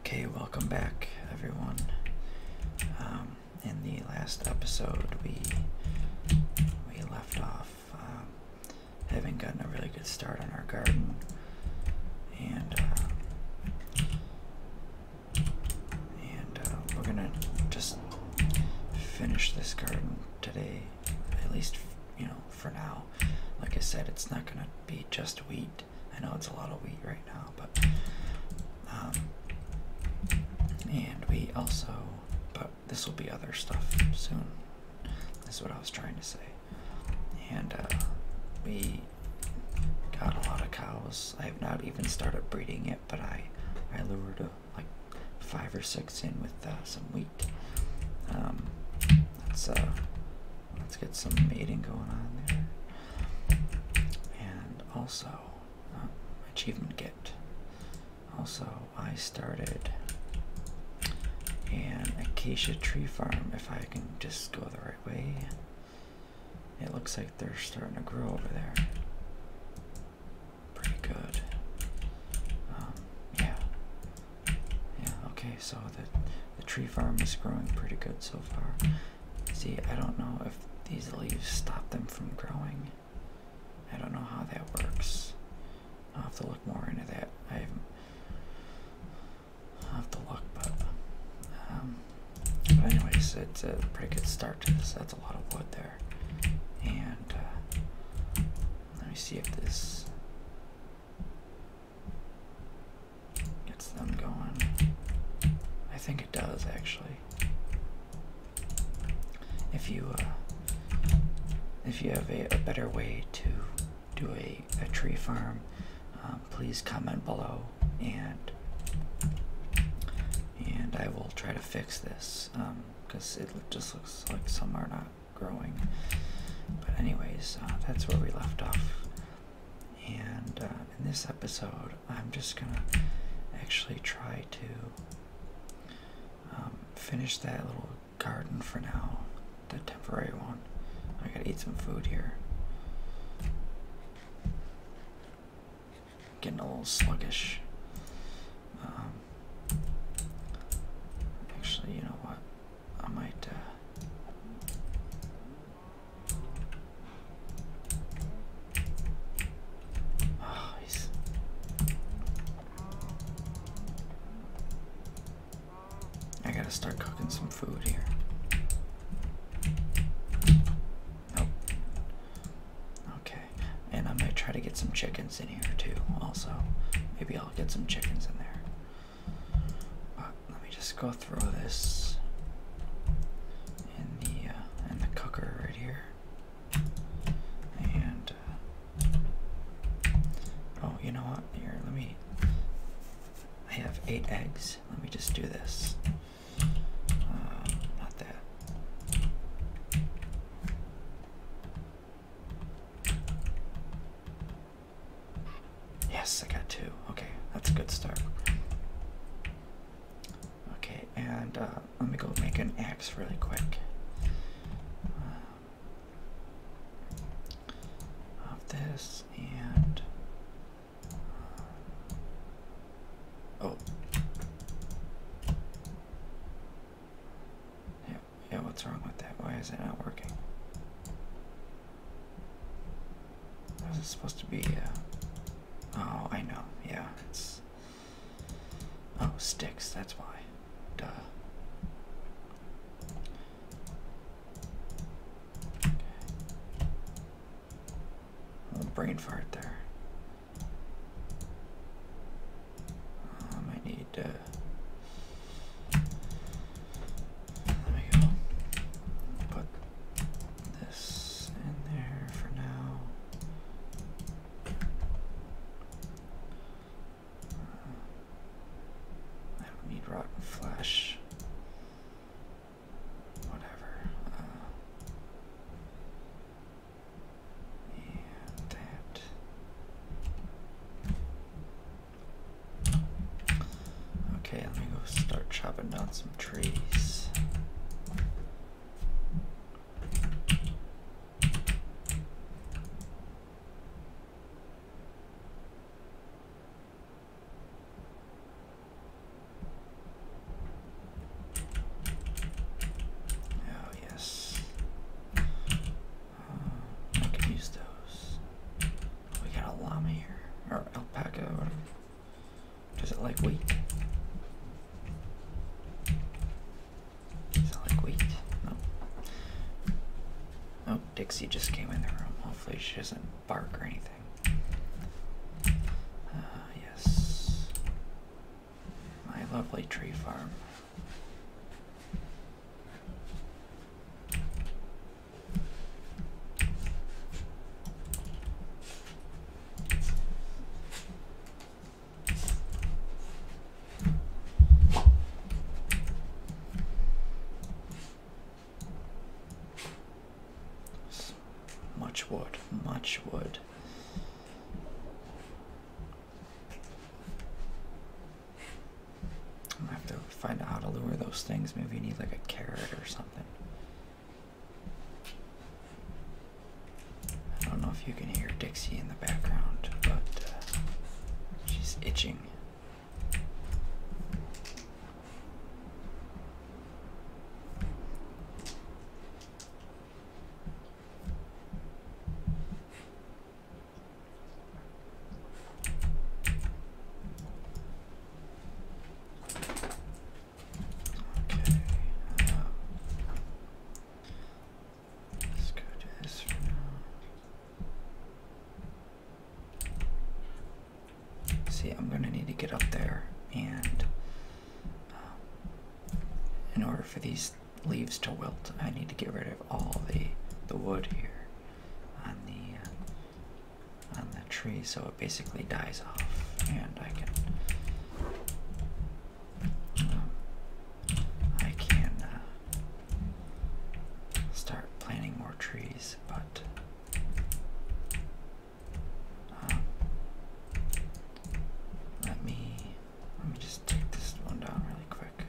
Okay, welcome back, everyone. Um, in the last episode, we we left off um, having gotten a really good start on our garden, and uh, and uh, we're gonna just finish this garden today, at least you know for now. Like I said, it's not gonna be just weed. I know it's a lot of wheat right now, but um, and we also, but this will be other stuff soon. That's what I was trying to say. And uh, we got a lot of cows. I have not even started breeding yet, but I I lured uh, like five or six in with uh, some wheat. Um, that's uh, Let's get some mating going on there. And also, uh, achievement get. Also, I started an acacia tree farm. If I can just go the right way, it looks like they're starting to grow over there. Pretty good. Um, yeah. Yeah, okay, so the, the tree farm is growing pretty good so far. See, I don't know if these leaves stop them from growing. I don't know how that works. I'll have to look more into that. I haven't. I'll have to look, but. Um, but, anyways, it's a pretty good start to this. That's a lot of wood there. And uh, let me see if this. Gets them going. I think it does actually. If you uh, if you have a, better way to do a, a tree farm, uh, please comment below and and I will try to fix this because um, it just looks like some are not growing. But anyways, uh, that's where we left off and uh, in this episode, I'm just gonna actually try to um, finish that little garden for now, the temporary one. I gotta eat some food here. Getting a little sluggish. Um, actually, you know what? I might. Uh, ah, I gotta start cooking some food here. Nope. Okay, and I might try to get some chickens in here too, also. Maybe I'll get some chickens in there. Uh, let me just go throw this in the uh, in the cooker right here. And uh, oh, you know what? Here, let me. I have eight eggs. Let me just do this. not that. Yes, I got two. Okay, that's a good start. Okay, and uh, let me go make an axe really quick. Uh, of this and. Uh, oh. Yeah, yeah, what's wrong with that? Why is it not working? What is it supposed to be? Oh, I know. Yeah, it's. Oh, sticks. That's why. Duh. Little brain fart there. Um, I need. Uh, there we go. Put this in there for now. Uh, I don't need rotten flesh. Whatever. yeah, uh, that. Okay, let me go start chopping down some trees. Oh, yes. Uh, I can use those. We got a llama here, or alpaca, Does it like wheat? Does it like wheat? No. Oh, Dixie just came in the room. Hopefully she doesn't bark or anything. Uh, yes. My lovely tree farm. Much wood, much wood. I'm gonna have to find out how to lure those things. Maybe you need like a carrot or something. I don't know if you can hear Dixie in the background, but uh, she's itching. Okay. let's go do this for now. See, I'm gonna need to get up there, and um, in order for these leaves to wilt, I need to get rid of all the the wood here on the. Uh, on that tree so it basically dies off and I can um, I can uh, start planting more trees but um, let me let me just take this one down really quick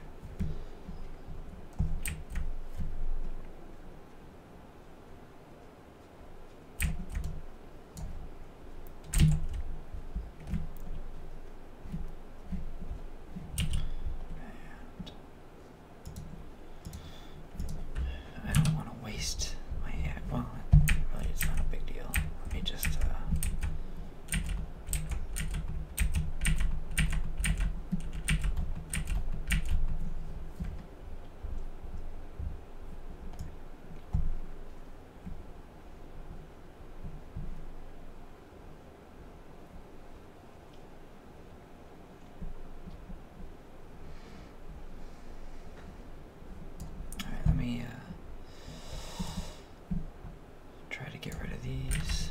well, really, it's not a big deal. Let me just, uh, Alright, let me uh, try to get rid of these.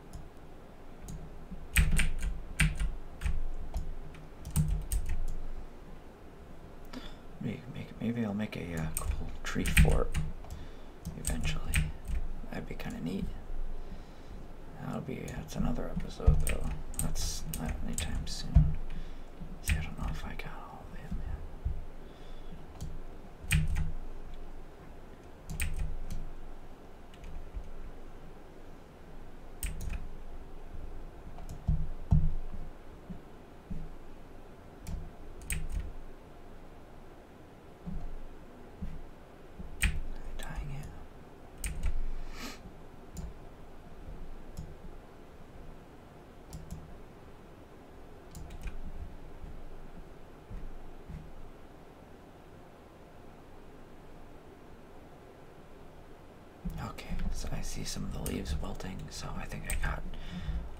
Maybe, maybe I'll make a uh, cool tree fort eventually. That'd be kind of neat. That'll be, that's another episode though. That's not anytime soon. See, I don't know if I got all of them Dying it. Okay, so I see some of the leaves wilting, so I think I got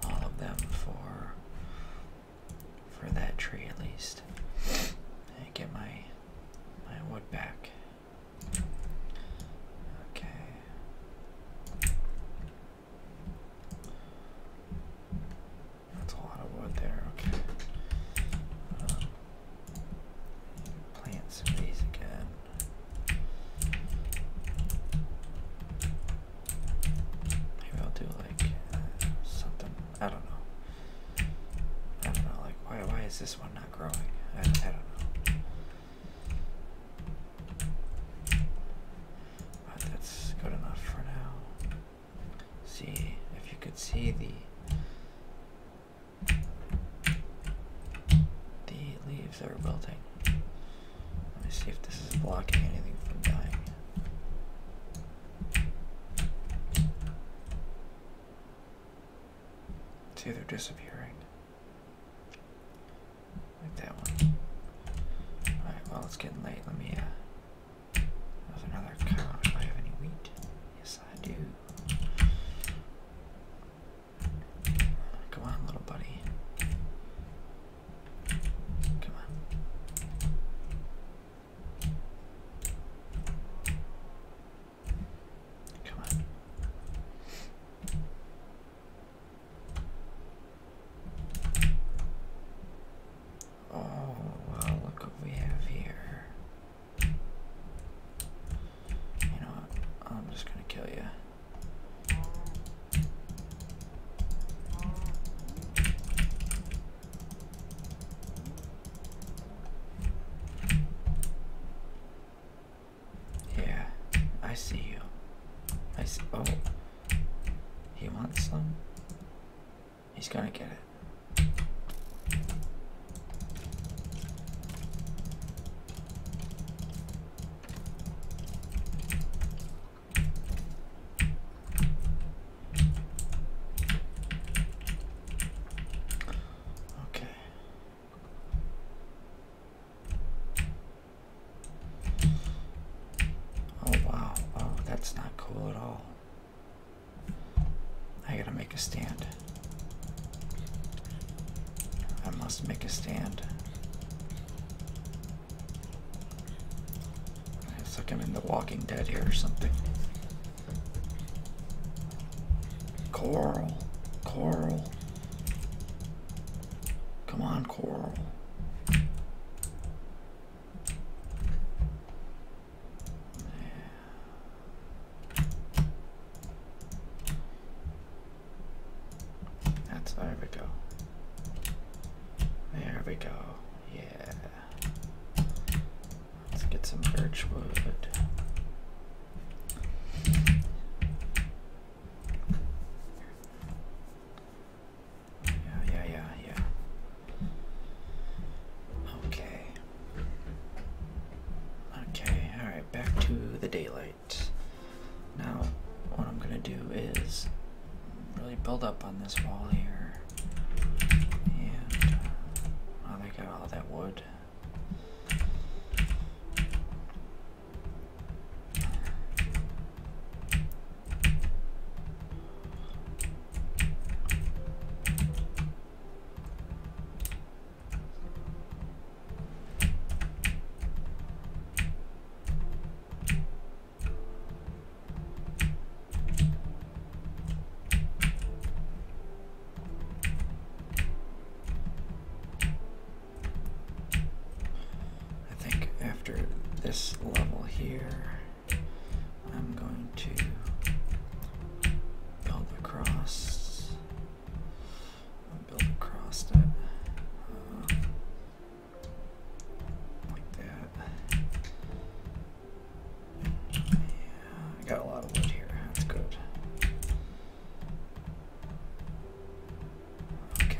all of them for for that tree at least. I get my my wood back. Okay. That's a lot of wood there, okay. Um, again. Maybe I'll do like uh, something. I don't know. I don't know. Like why? Why is this one not growing? I don't know. But that's good enough for now see if you could see the the leaves that are wilting. Let me see if this is blocking anything from dying. See, they're disappearing. Like that one. Alright, well, it's getting late. Let me uh, there's another cow. Do I have any wheat? Yes, I do. Come on, little buddy. Come on. Come on. Oh, well, look what we have here. You know I'm just gonna kill you. Yeah, I see you. I see. Oh, he wants some. He's gonna get it. Okay. Oh wow, wow, that's not cool at all. I gotta make a stand. I must make a stand. It's like I'm in The Walking Dead here or something. Coral, coral. Come on, coral. That's there we go. There we go. Yeah. Let's get some birchwood. Yeah, yeah, yeah, yeah. Okay. Okay, alright, back to the daylight. Now, what I'm gonna do is really build up on this wall here. And oh, they got all that wood. I think after this level here. I'm going to build across. I'll build across that. Uh, like that. I got a lot of wood here. That's good. Okay.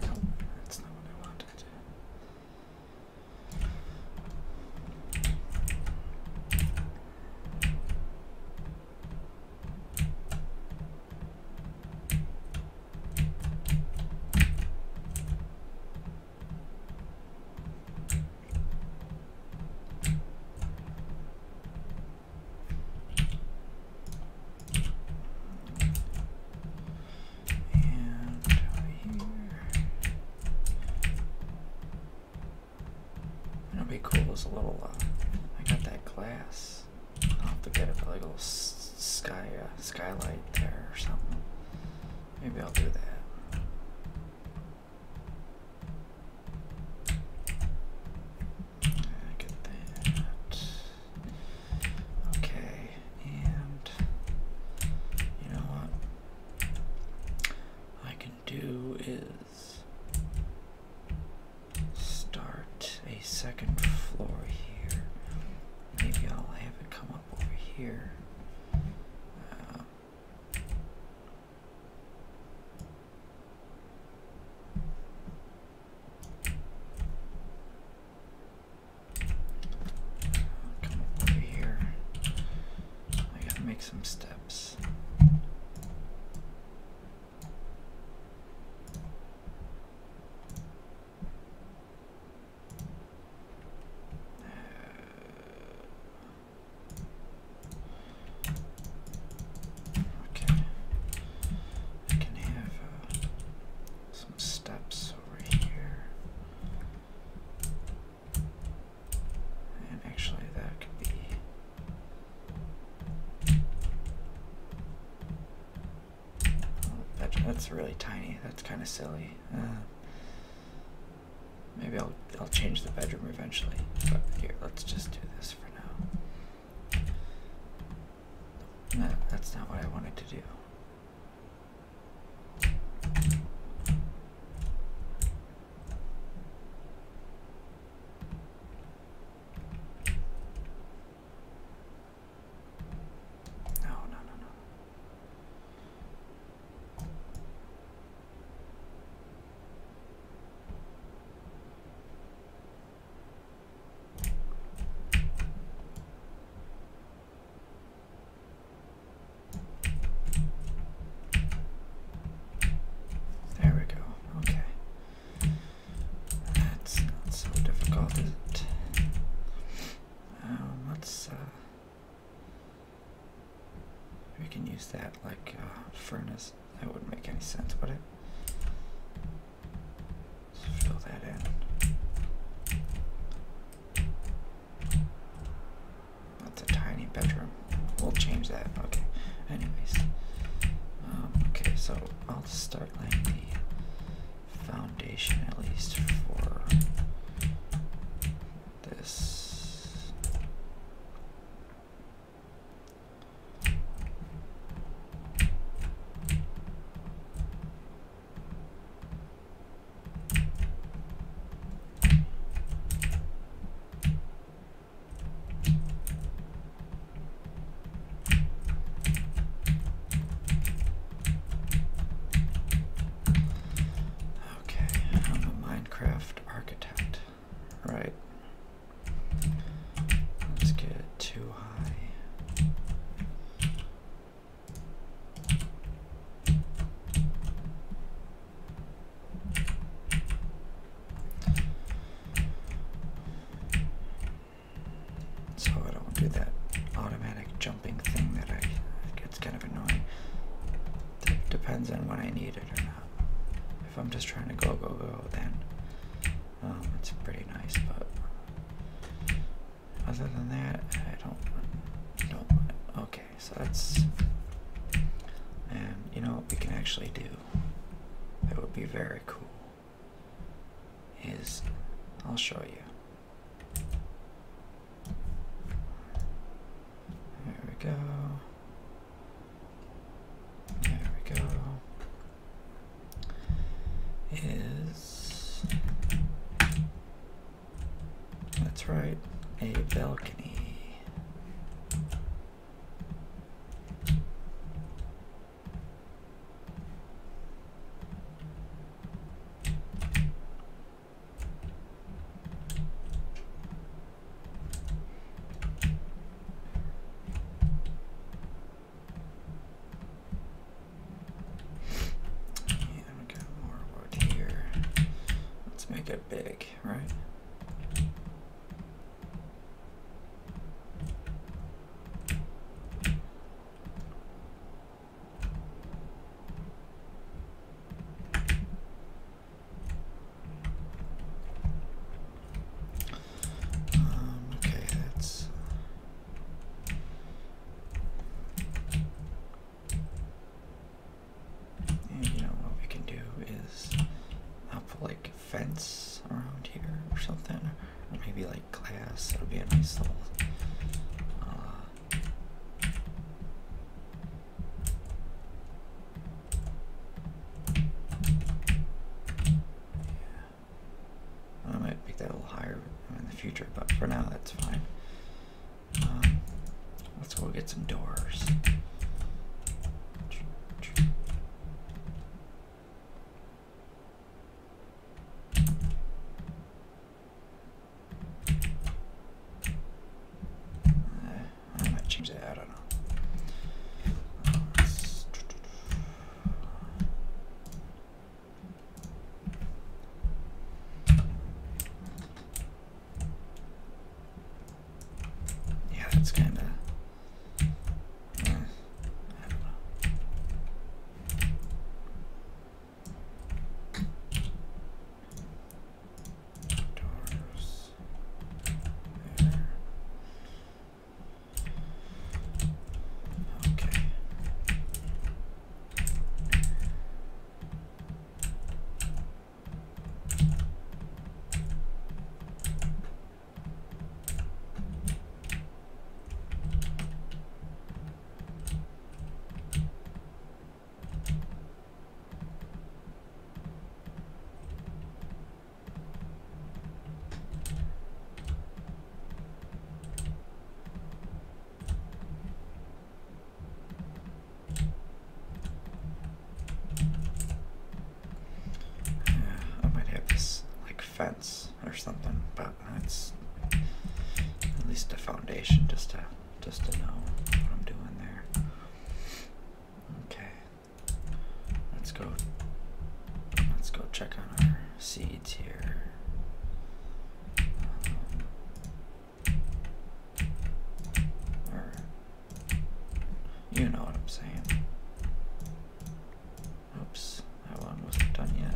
No, that's not what I wanted. And here. It'll be cool as a little. Uh, I got that glass. I'll have to get a little sky uh, skylight there or something. Maybe I'll do that. Get that. Okay, and you know what I can do is start a second floor here. Maybe I'll have it come up over here. Uh, Come over here. I gotta make some steps. Uh, Okay, I can have uh, some steps over here. And actually, that could be. Oh, that, that's really tiny. That's kind of silly. Uh, maybe I'll I'll change the bedroom eventually. But here, let's just do this for for No, that's not what I wanted to do. No, no, no, no. There we go. Okay. That's not so difficult, um, let's uh, we can use that like a uh, furnace. That wouldn't make any sense, would it? fill that in. That's a tiny bedroom. We'll change that. Okay. Anyways. Um, okay, so I'll just start laying the foundation at least for this. Okay, I'm a Minecraft architect. Right. Let's get it too high. So I don't do that automatic jumping thing that I gets kind of annoying. depends on when I need it or not. If I'm just trying to go, go, go, then um, it's pretty nice, but other than that, I don't, don't, okay, so that's, and you know what we can actually do, that would be very cool, is, I'll show you. There we go. There we go. Is that's right, a balcony. I'm going more wood here. Let's make it big, right? Um, okay, that's. And you know what we can do is I'll put like a fence around here or something, or maybe like glass. That'll be a nice little. Uh, yeah. I might make that a little higher in the future, but for now that's fine. Um, let's go get some doors. Eh. I might change that. Yeah, that's kind of. I don't know doors there. Okay. Okay. I might have this like fence or something, but that's at least a foundation just to just to know what I'm doing there. Okay, Let's go. Let's go check on our seeds here. Um, you know what I'm saying. Oops, that one wasn't done yet.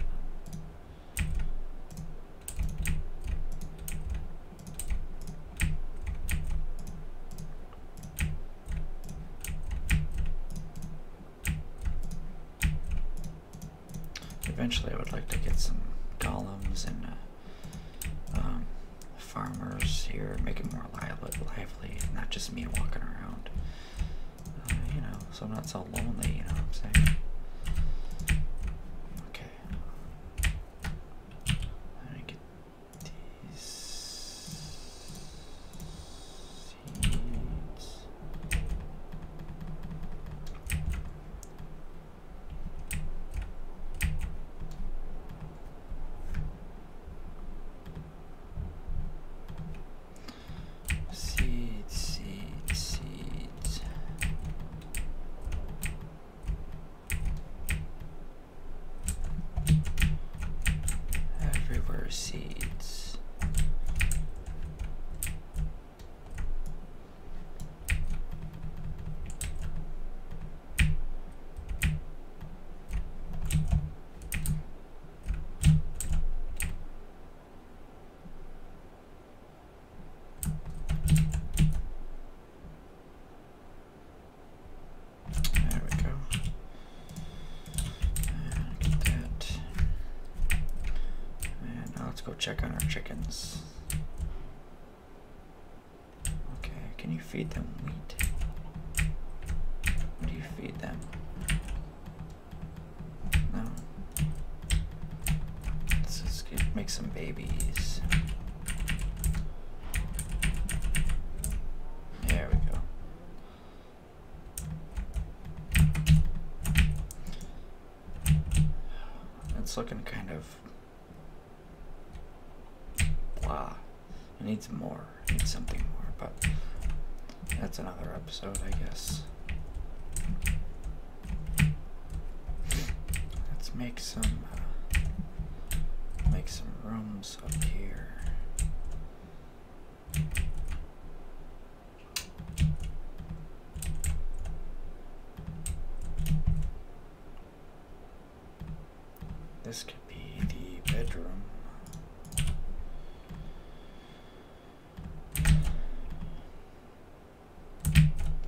Eventually I would like to get some golems and uh, um, farmers here, make it more lively, not just me walking around. Uh, you know, so I'm not so lonely, you know what I'm saying? Okay. I get these seeds. Seed, seed, seed. Everywhere seeds. There we go. get that. And now let's go check on our chickens. Okay, can you feed them wheat? What do you feed them? No. Let's just make some babies. There we go. It's looking kind of blah. It needs more. It needs something more, but that's another episode, I guess. Let's make some make some rooms up here. This could be the bedroom.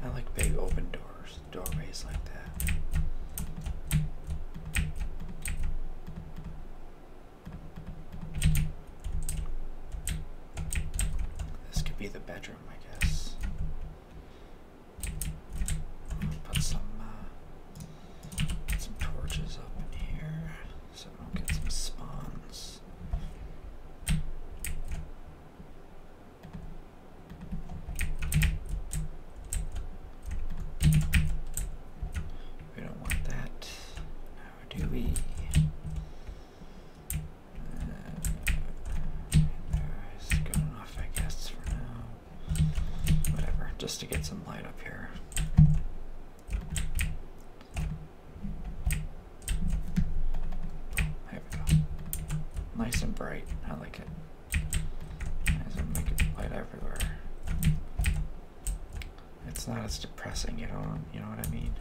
I like big open doors doorways like that. This could be the bedroom, I guess. Put some uh, some torches up in here so we get some spawns. We don't want that. do we? Uh, there's good I guess, for now. Whatever, just to get some light up here. There we go. Nice and bright. I like it. As make it light everywhere. It's not as depressing, you know, you know what I mean?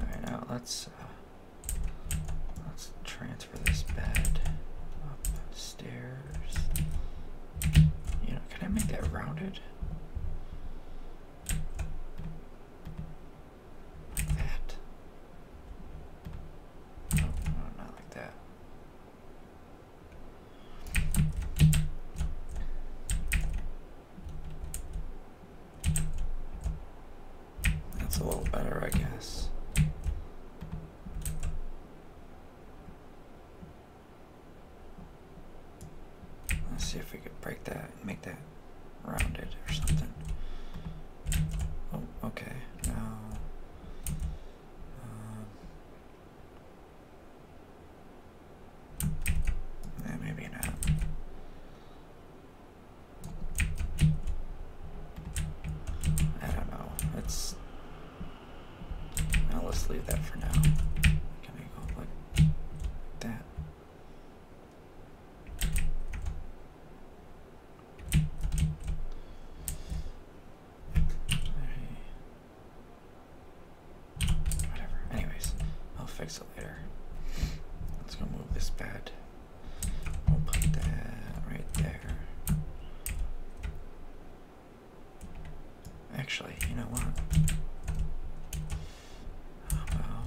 Alright, now let's uh, let's transfer this bed upstairs. You know, can I make that rounded? that. Oh, not like that. That's a little better, I guess. Let's see if we could break that make that rounded or something. Oh, okay. Now, uh, maybe not. I don't know. It's. Now let's leave that for now. Can I go like that? Whatever. Anyways, I'll fix it later. Let's go move this bed. We'll put that right there. Actually, you know what? How about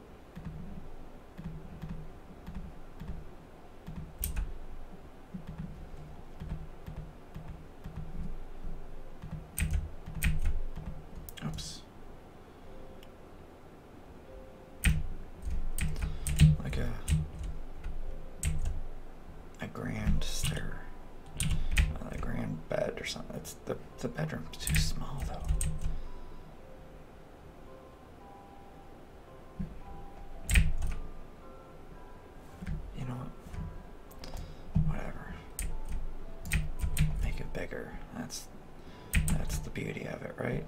Oops. Like a a grand stair, a grand bed or something. It's the the bedroom's too small though. You know Whatever. Make it bigger. That's that's the beauty of it, right?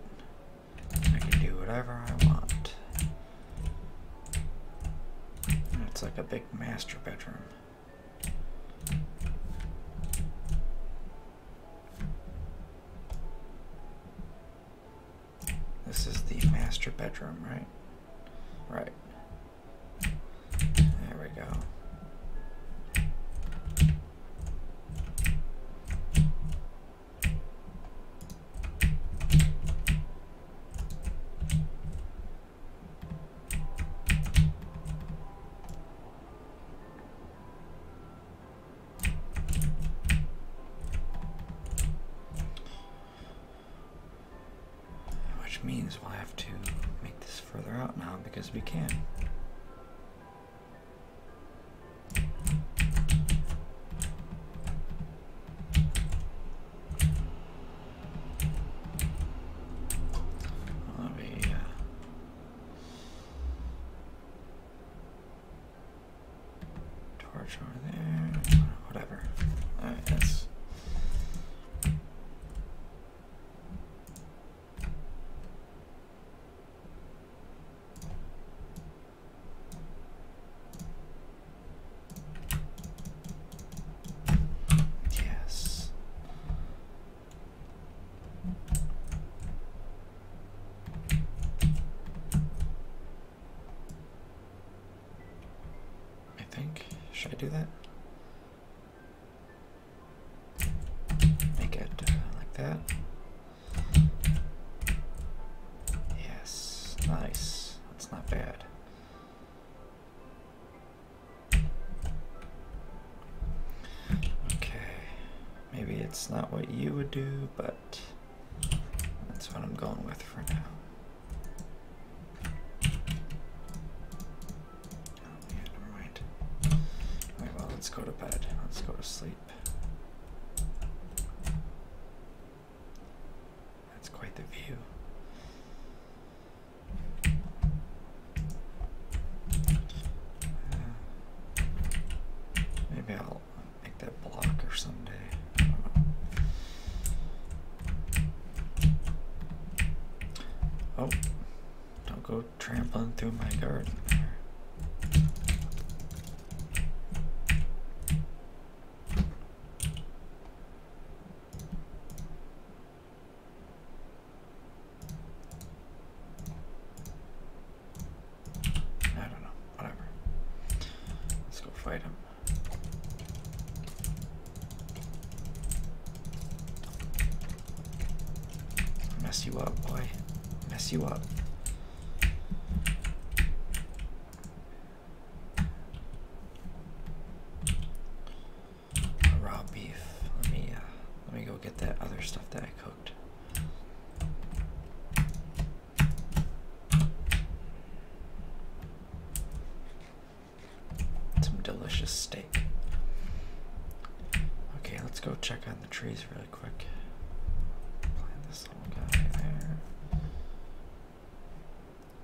I can do whatever I want. It's like a big master bedroom. This is the master bedroom, right? Right. There we go. Which means we'll have to make this further out now because we can. Let me Torch over there. Whatever. Alright, that's. Yes. I think. Should I do that? Make it uh, like that. Yes, nice. That's not bad. Okay, maybe it's not what you would do, but that's what I'm going with for now. Oh, never mind. well, let's go to bed. Let's go to sleep. That's quite the view. Maybe I'll make that blocker someday. Oh, don't go trampling through my garden. I don't know, whatever. Let's go fight him. Mess you up, boy. Mess you up. Raw beef. Let me uh, let me go get that other stuff that some delicious steak. Okay, let's go check on the trees really quick. Plant this little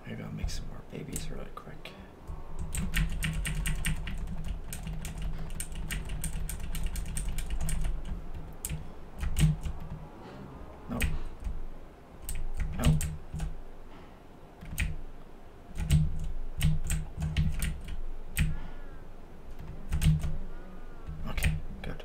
Maybe I'll make some more babies really quick. No. No. Okay, good.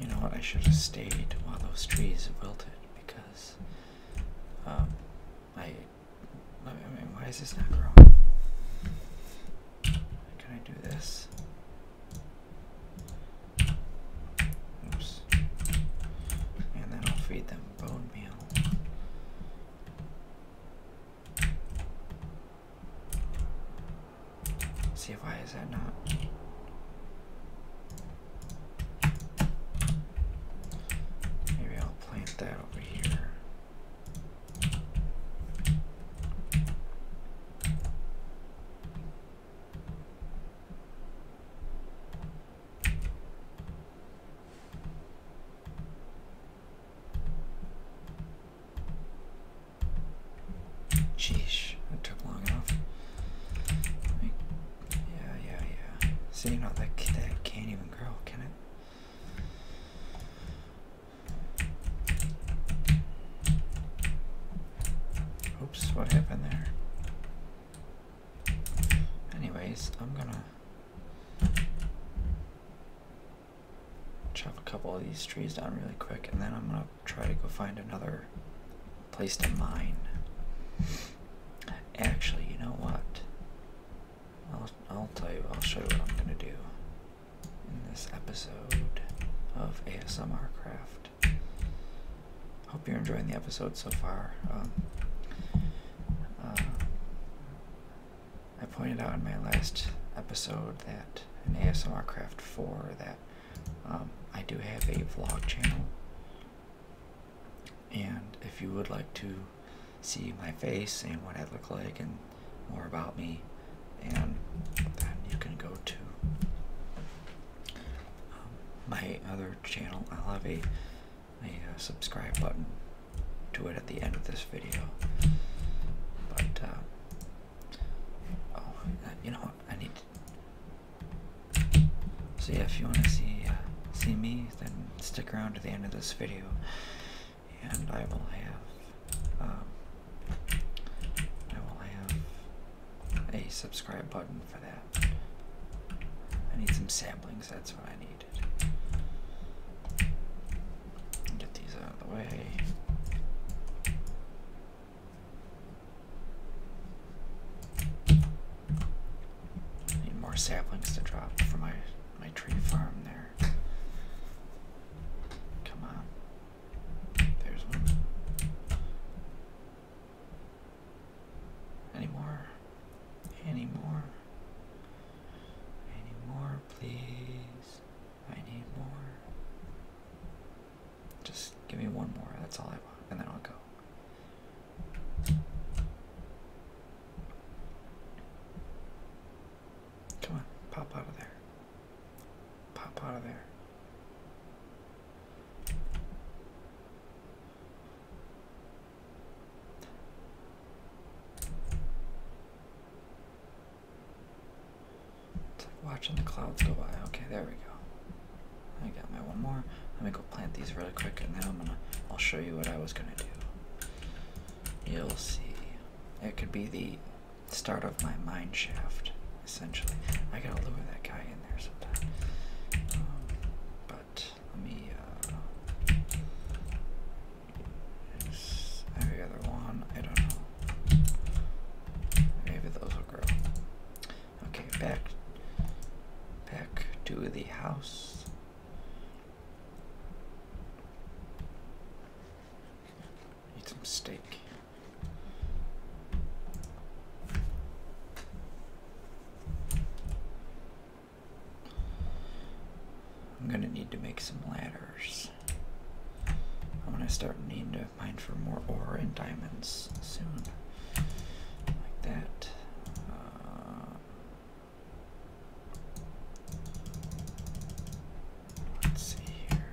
You know what? I should have stayed while those trees wilted because um, I, I mean, why is this not growing? Can I do this? Oops. And then I'll feed them bone meal. Let's see why is that not? Maybe I'll plant that over here. Sheesh, that took long enough. Me, yeah, yeah, yeah. See, not that that can't even grow, can it? Oops, what happened there? Anyways, I'm gonna Chop a couple of these trees down really quick, and then I'm gonna try to go find another place to mine. Actually, you know what? I'll, I'll tell you, I'll show you what I'm gonna do in this episode of ASMR Craft. Hope you're enjoying the episode so far. Um, uh, I pointed out in my last episode that in ASMR Craft 4 that um, I do have a vlog channel. And if you would like to see my face and what I look like and more about me, and then you can go to um, my other channel. i have a a uh, subscribe button to it at the end of this video. But, uh, oh, uh, you know what? I need So, yeah, if you want to see, see me, then stick around to the end of this video and I will have. Um, I will have a subscribe button for that. I need some samplings, that's what I need. Get these out of the way. need more saplings to drop for my my tree farm there. Come on. There's one. Any more? Any more? I more, please. I need more. Just give me one more. That's all I want, and then I'll go. Come on, pop out of there. Pop out of there watching the clouds go by. Okay, there we go. I got my one more. Let me go plant these really quick, and then I'm gonna. I'll show you what I was gonna do. You'll see. It could be the start of my mine shaft, essentially. I gotta lure that guy in there sometime. Um, let me uh every other one, I don't know. Maybe those will grow. Okay, back back to the house. Eat some steak. I'm gonna need to make some ladders. I'm gonna start needing to mine for more ore and diamonds soon. Like that. Uh, let's see here.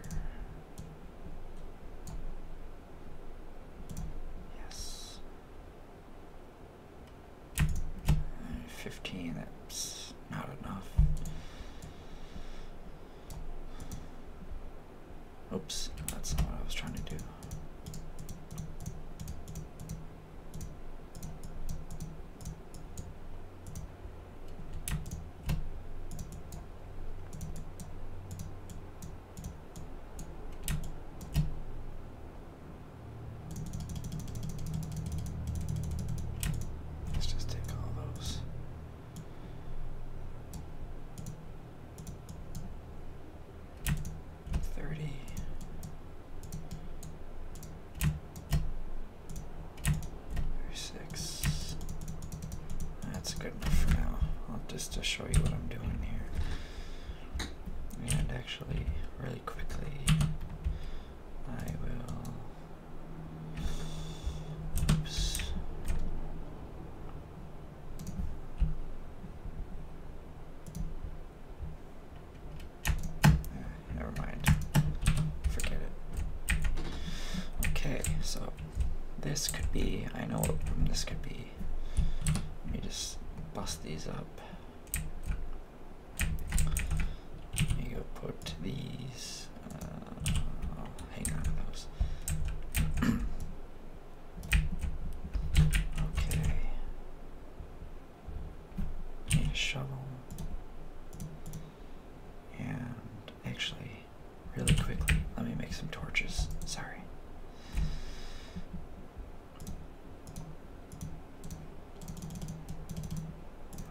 Yes. 15, that's not enough. Oops, that's not what I was trying to do. Let's just take all those. Thirty. That's good enough for now. I'll just to uh, show you what I'm doing here. And actually, really quickly, I will. Oops. Ah, never mind. Forget it. Okay, so this could be. I know this could be. Let me just bust these up. You put these. Uh, hang on to those. okay. Need a shovel. And actually, really quickly, let me make some torches. Sorry.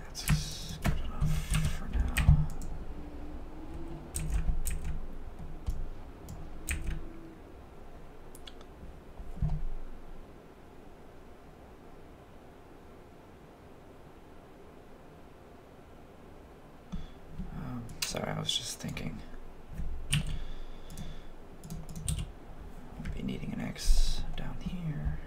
That's good enough for now. Um, sorry, I was just thinking. I'll be needing an X down here.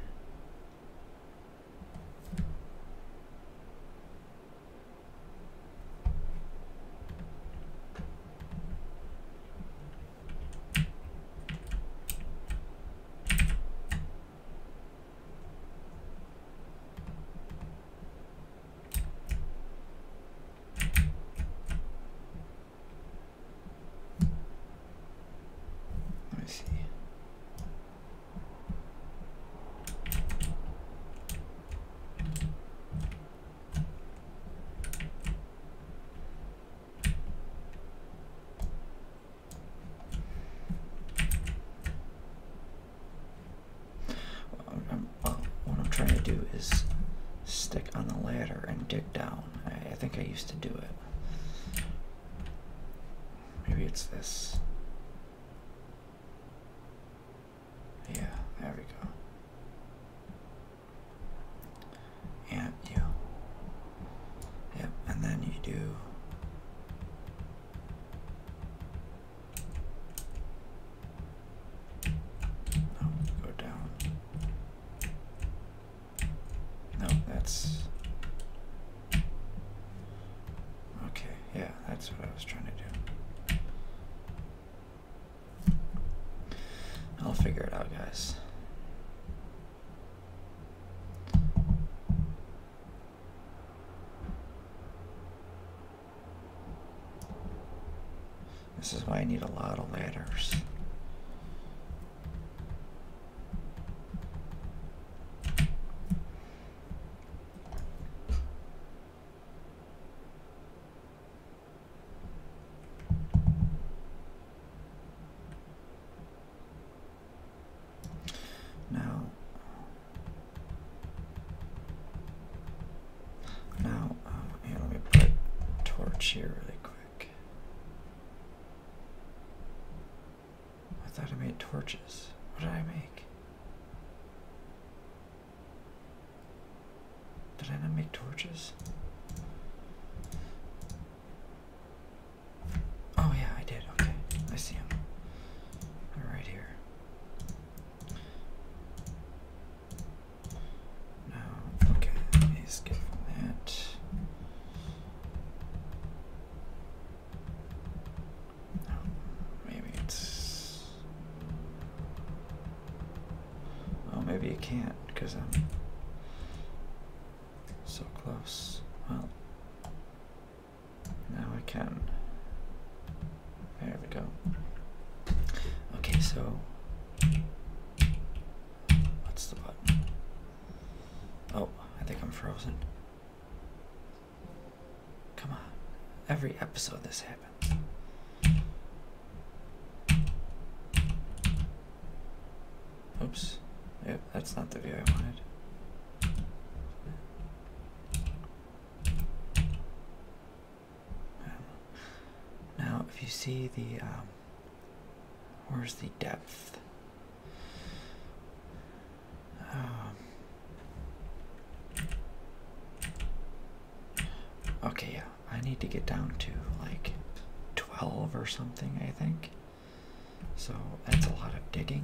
Let me see. What what I'm trying to do is stick on the ladder and dig down. I, think I used to do it. Maybe it's this. Yeah, there we go. And Yep, and then you do. Oh, go down. No, that's... Okay, yeah, that's what I was trying to do. I'll figure it out, guys. This is why I need a lot of ladders. Now, now, um, let me put torch here really quick. I thought I made torches. What did I make? Did I not make torches? Oh yeah, I did. Okay, I see him. right here okay, he's good for that. maybe it's. Oh, maybe you can't because I'm so close. Well, now I can. There we go. Okay, so What's the button? Oh, I think I'm frozen. Come on. Every episode this happens. Oops. Yep, that's not the view I wanted. Um, now, if you see the, um, where's the depth? Um, okay, yeah, I need to get down to like 12 or something, I think. So that's a lot of digging.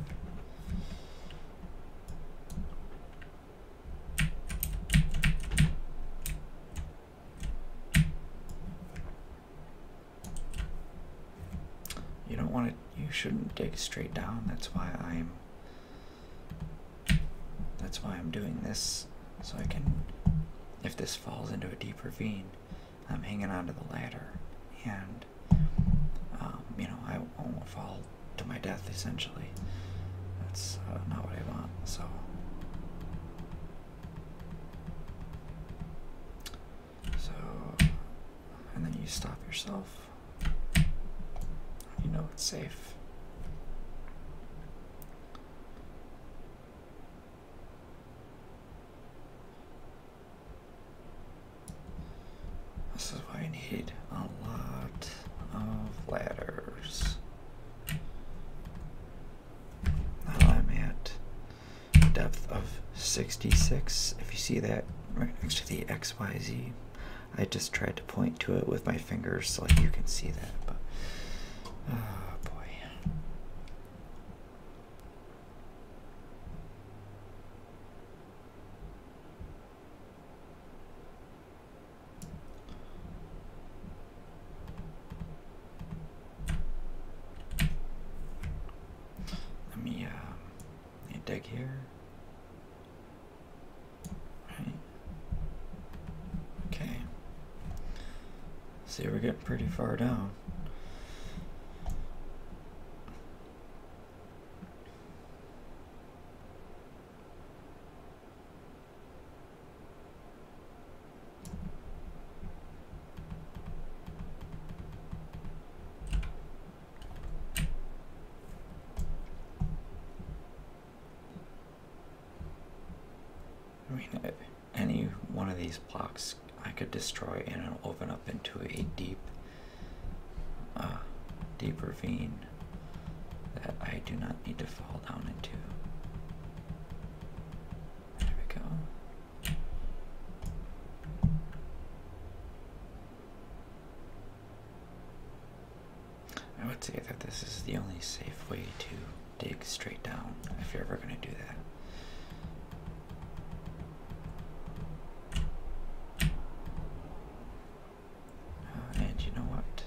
You don't want to, you shouldn't dig straight down. That's why I'm, that's why I'm doing this. So I can, if this falls into a deep ravine, I'm hanging onto the ladder and, um, you know, I won't fall to my death essentially. That's uh, not what I want, so. So, and then you stop yourself. You know it's safe. This is why I need a lot of ladders. I'm at depth of 66. If you see that right next to the XYZ, I just tried to point to it with my fingers so like you can see that. But, oh boy. Let me, uh, dig here. Right. Okay. See, we're getting pretty far down. I mean, uh, any one of these blocks I could destroy and it'll open up into a deep, uh, deep ravine that I do not need to fall down into. There we go. I would say that this is the only safe way to dig straight down if you're ever going to do that. Uh, and you know what?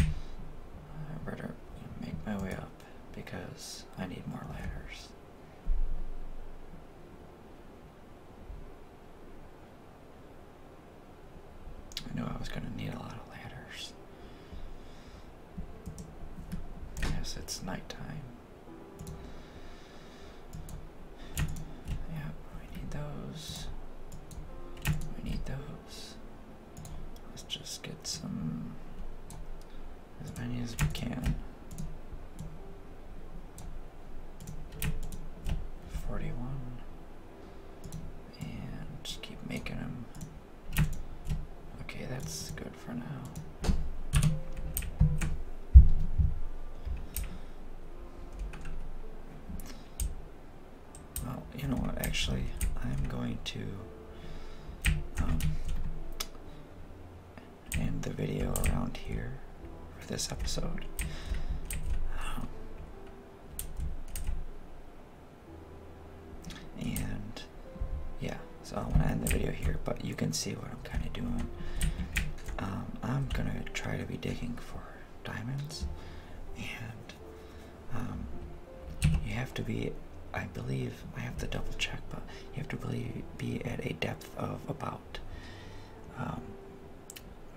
I better make my way up because I need more ladders. I knew I was going to need a lot of ladders. Yes, it's nighttime. Yep, we need those. We need those. Let's just get some, as many as we can. 41. And just keep making them. Okay, that's good for now. Well, you know what? Actually, I'm going to um, end the video around here for this episode. and yeah, so I am going to end the video here, but you can see what I'm kind of doing. Um, I'm gonna try to be digging for diamonds and um, you have to be, I believe, I have to double check, but you have to really be at a depth of about um,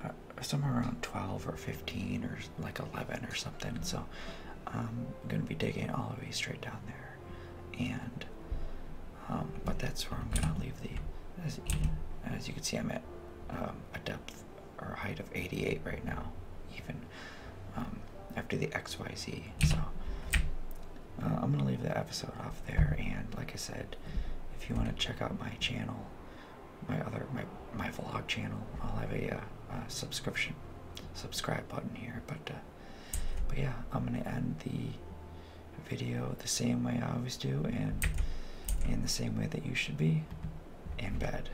uh, somewhere around 12 or 15 or like 11 or something. So um, I'm going to be digging all the way straight down there. And, but that's where I'm going to leave the, as, you can see, I'm at a depth or a height of 88 right now, even um, after the XYZ. So uh, I'm gonna leave the episode off there. And like I said, if you want to check out my channel, my other my my vlog channel, I'll have a, uh, subscription subscribe button here. But uh, but yeah, I'm gonna end the video the same way I always do, and in the same way that you should be in bed.